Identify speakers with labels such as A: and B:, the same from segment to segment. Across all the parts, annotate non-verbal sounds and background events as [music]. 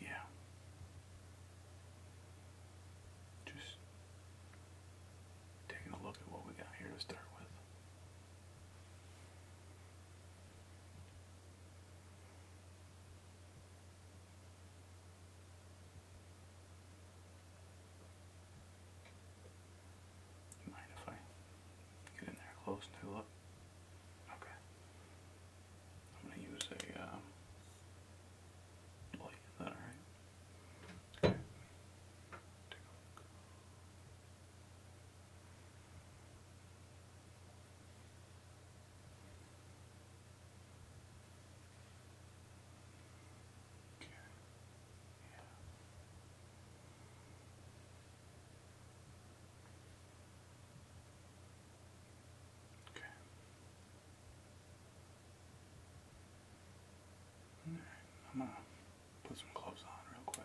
A: Yeah. Just taking a look at what we got here to start with. Mind if I get in there close and take a look? Okay. I'm going to use a um, alright? look. Okay. Okay. Yeah. Okay. Right, I'm gonna put some clothes on real quick.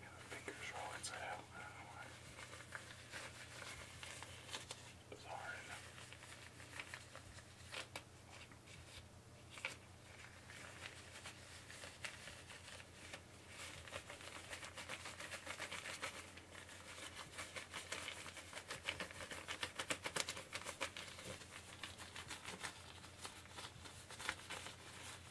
A: Yeah, the fingers roll inside out. I don't know why. It's hard enough. All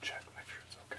A: Check, make sure it's okay.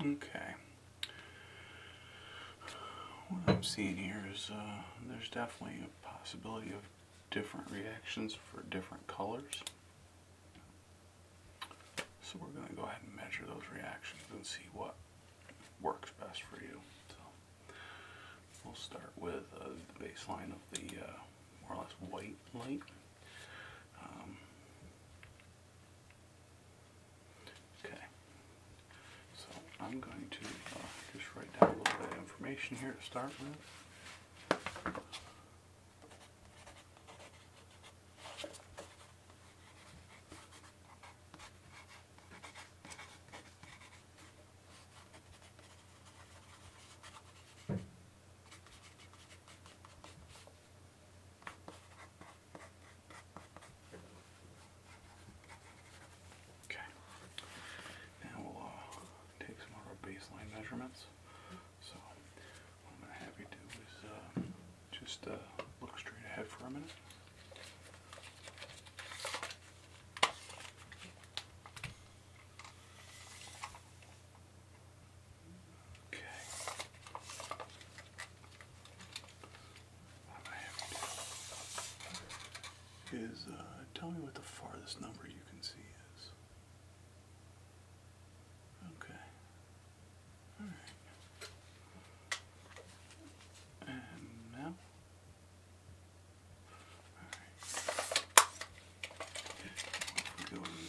A: Okay. What I'm seeing here is uh, there's definitely a possibility of different reactions for different colors. So we're going to go ahead and measure those reactions and see what works best for you. So we'll start with uh, the baseline of the uh, more or less white light. Um, okay, so I'm going to uh, just write down a little bit of information here to start with. Okay. Now we'll uh, take some of our baseline measurements. So what I'm going to have you do is uh, just uh, look straight ahead for a minute. Okay. What I have to do is uh, tell me what the farthest number you can see is. Okay. Alright. And now? Alright. Going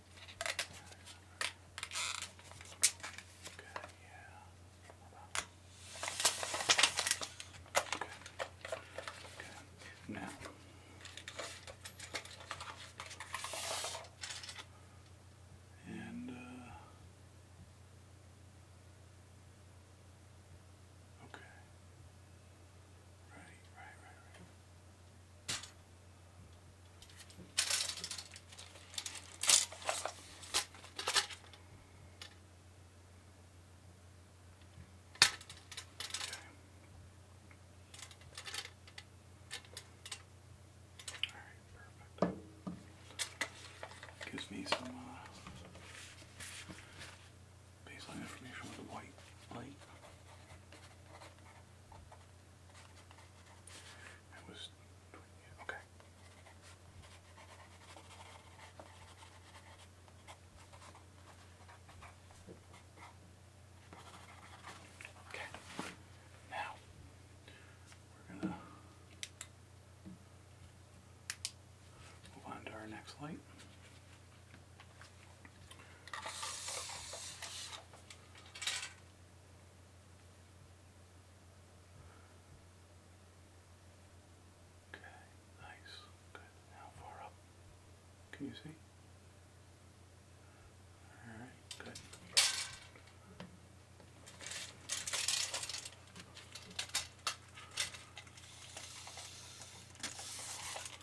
A: Okay, yeah. Okay. Now and Okay. Right, right, right, all right, perfect. Gives me some uh, baseline information with the white light. It was okay. Okay. Now we're gonna move on to our next light. Okay, nice. Good. How far up? Can you see? Alright, good.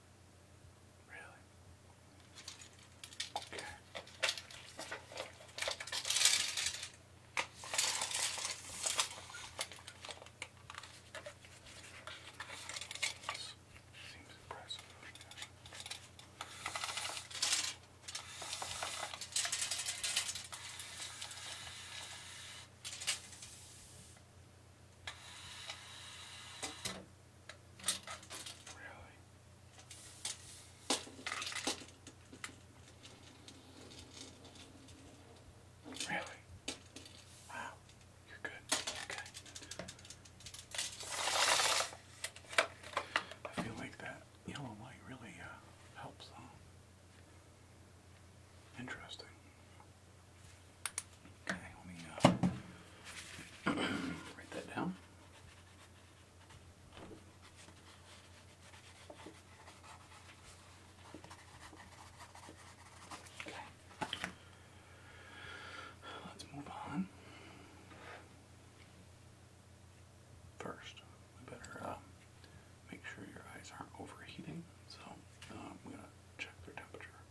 A: Really? Okay. This seems impressive. Okay. Really? Wow. You're good. Okay. I feel like that yellow light really uh, helps them. Um, interesting. Okay, let me uh, [clears throat] write that down. Okay. Let's move on. First, we better uh, make sure your eyes aren't overheating, so uh, I'm going to check their temperature.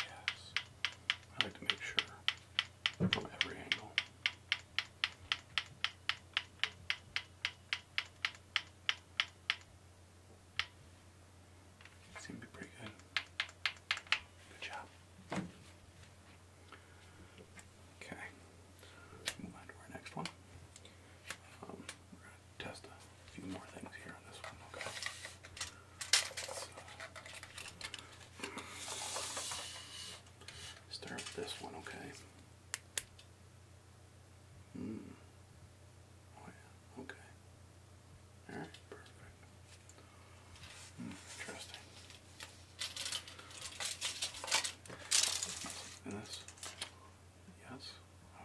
A: Yes. I like to make sure from every angle. That to be pretty good. Good job. Okay. Move on to our next one. Um, we're going to test a few more things here on this one, okay? Start with this one, okay? Mm. Oh, yeah. Okay. Perfect. Hmm, interesting. And Yes.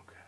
A: Okay.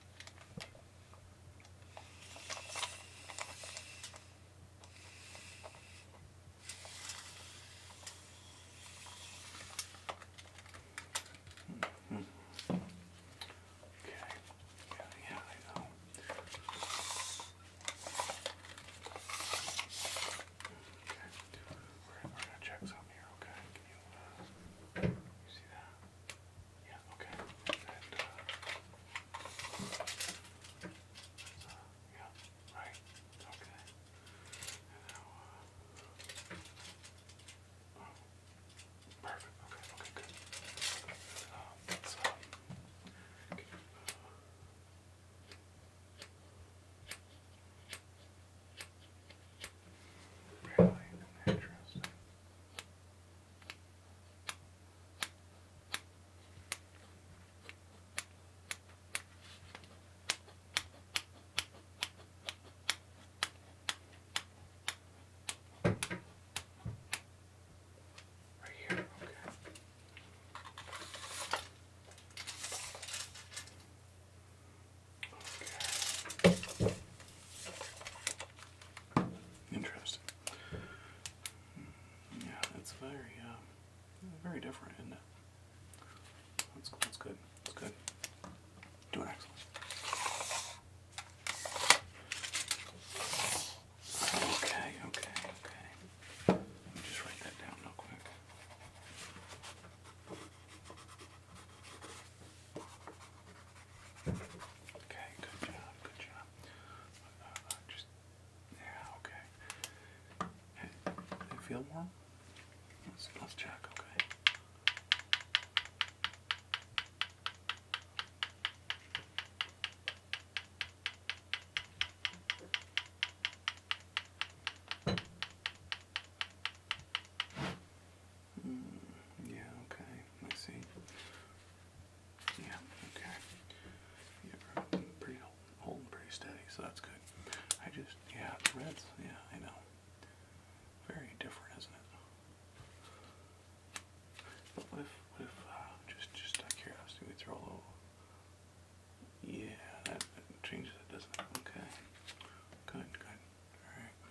A: Okay. We're, we're gonna check some here, okay? Can you uh you see that? Yeah, okay. And, uh, yeah, right. Okay. And now, uh, oh, perfect. Okay, okay, good. Um, let's, um, you, Really interesting. Right here, okay. Okay. Interesting. Yeah, it's very, uh, very different, isn't That's, good. That's good. Doing excellent. Okay, okay, okay. Let me just write that down real quick. Okay, good job, good job. Uh, uh, just, yeah, okay. Hey, do you feel warm? Let's, let's check, okay. Mm, yeah, okay, I see. Yeah, okay. Yeah, pretty holding pretty steady, so that's good. I just, yeah, reds, yeah, I know. Very different, isn't it? what if, what if, uh, just, just out of curiosity, we throw a little, yeah, that changes it, doesn't it? Okay. Good, good. All right. Okay,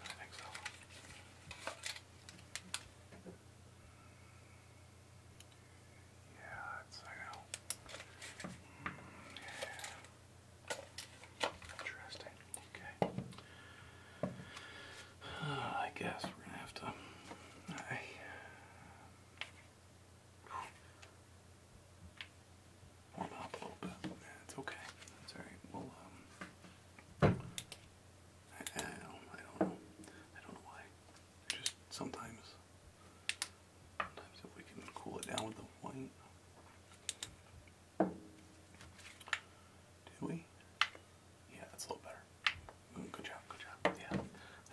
A: perfect. I think so. Mm, yeah. Mm, interesting. Okay. Uh, I guess we're gonna have to. it's okay. It's Well, um, I, don't, know. I don't know why. Just sometimes, sometimes if we can cool it down with the white. Did we? Yeah, that's a little better. Mm, good job, good job. Yeah,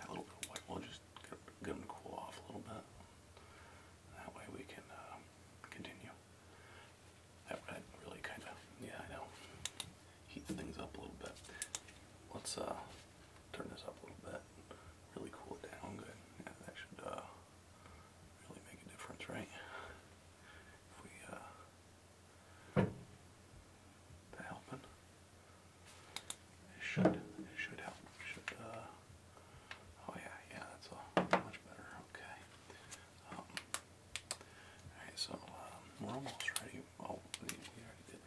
A: that little bit of white will just get, get them to cool off a little bit. That way we can uh, continue. That red really kind of, yeah, I know, heats things up a little bit. Let's uh, turn this up a little bit, really cool it down good. Yeah, that should uh, really make a difference, right? If we uh, they're helping. It should. It should help. should. Uh, oh yeah, yeah. That's all. Much better. Okay. Um, all right. So um, we're almost ready. Oh, we, we already did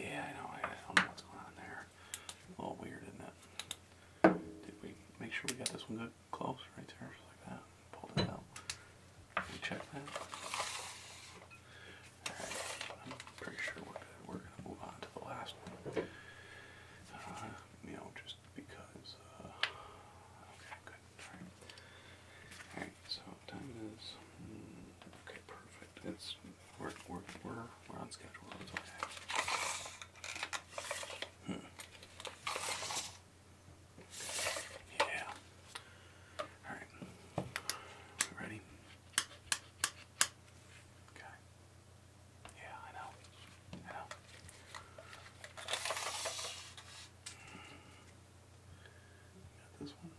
A: Yeah, I know. I don't know what's going on there. A little weird, in that. Did we make sure we got this one good close right there, just like that? Pulled it out. we check that. Alright, pretty sure we're We're gonna move on to the last one. Uh, you know, just because. Uh, okay, good. Alright. Alright, so time is. Hmm, okay, perfect. It's we're, we're, we're, we're on schedule. Hmm. Yeah. Alright. ready? Okay. Yeah, I know. I know. Got this one.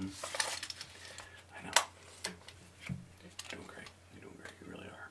A: Mm I know. You're doing great. You're doing great. You really are.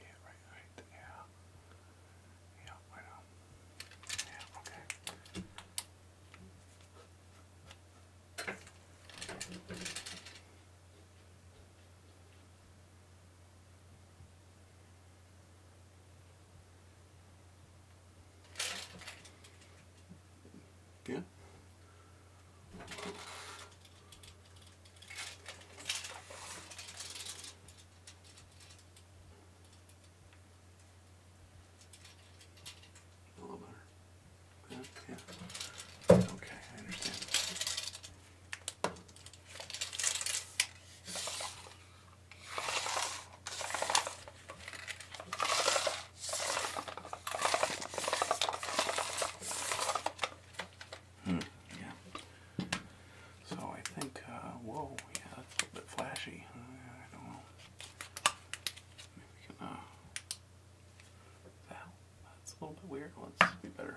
A: Yeah, right, right, Yeah, I know. Yeah, okay. Yeah. A little yeah. Okay, I understand. Hmm, yeah. So I think, uh, whoa, yeah, that's a little bit flashy. Uh, I don't know. Maybe we can, uh, that, that's a little bit weird. Let's be better.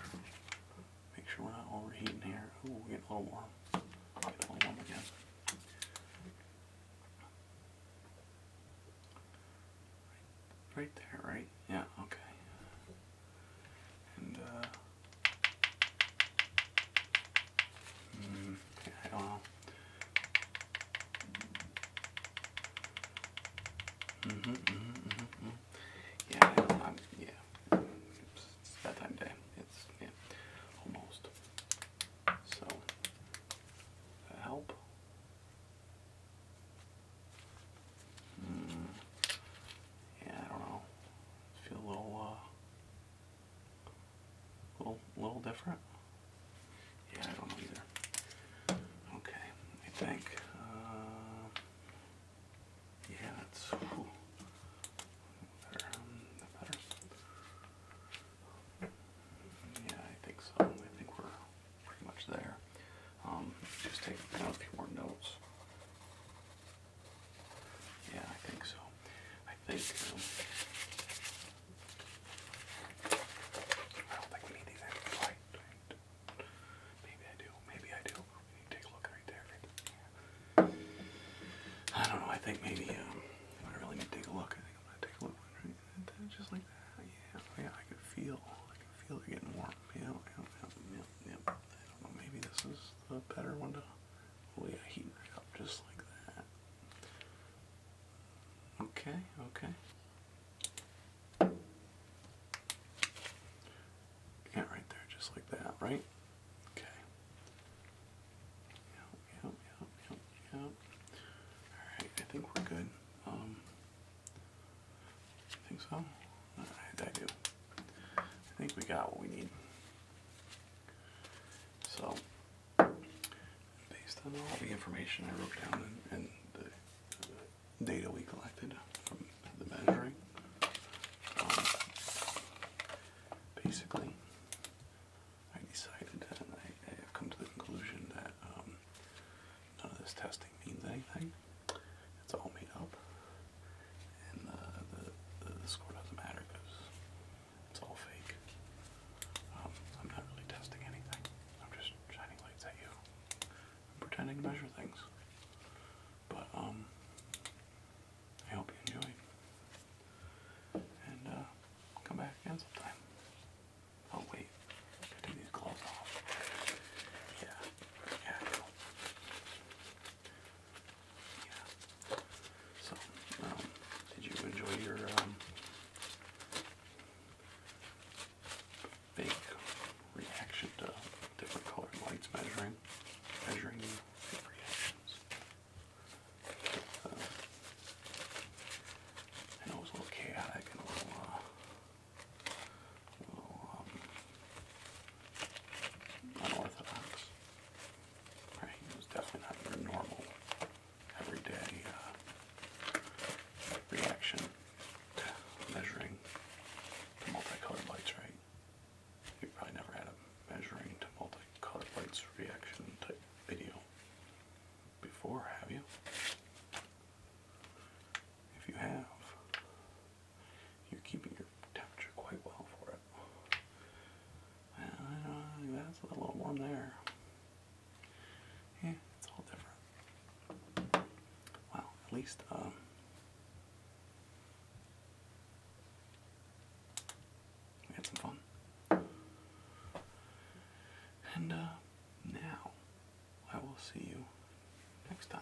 A: Make sure we're not overheating here. Ooh, we get a little warm. Get a little warm again. Right there, right? Yeah, okay. And, uh. Mm, I don't know. hmm, hmm, hmm, -hmm. Yeah, I am yeah. It's, that time day. It's, yeah. Almost. So, help? Mm. Yeah, I don't know. feel a little, uh, little, little different. Yeah, I don't know either. Okay, I think. Uh, yeah, that's better. Um, yeah, I think so. I think we're pretty much there. Um, just take down a few more notes. Yeah, I think so. I think. Um, I think we need these Maybe I do. Maybe I do. We take a look right there. I don't know. I think maybe um, I really need to take a look. I think I'm gonna take a look. Right? just like that. Oh, yeah, yeah, I could feel, I could feel it getting warm. Yeah, yeah, yeah, yeah. I don't know, maybe this is the better one to, oh yeah, heat it up just like that. Okay, okay. Yeah, right there, just like that, right? Okay. Alright, I think we're good. Um, think so? I do. I think we got what we need. So, based on all the information I wrote down and, the, data we collected from the measuring, um, basically, I decided uh, and I, have come to the conclusion that um, none of this testing means anything. It's all made up, and uh, the, the, score doesn't matter because it's all fake. Um, I'm not really testing anything. I'm just shining lights at you. I'm pretending to measure things. But um, I hope you enjoyed and uh, come back again sometime. Oh wait, gotta take these gloves off. Yeah, yeah, cool. yeah. So, um, did you enjoy your um, fake reaction to different colored lights measuring, measuring reactions? it was a little chaotic a little, uh, um, unorthodox. Right? It was definitely not your normal, everyday uh, reaction measuring multicolored lights, right? You probably never had a measuring to multicolored lights reaction type video before, have you? If you have, you're keeping your temperature quite well for it. that's a little warm there. Yeah, it's all different. Wow, at least, um, we had some fun. And uh, now I will see you next time.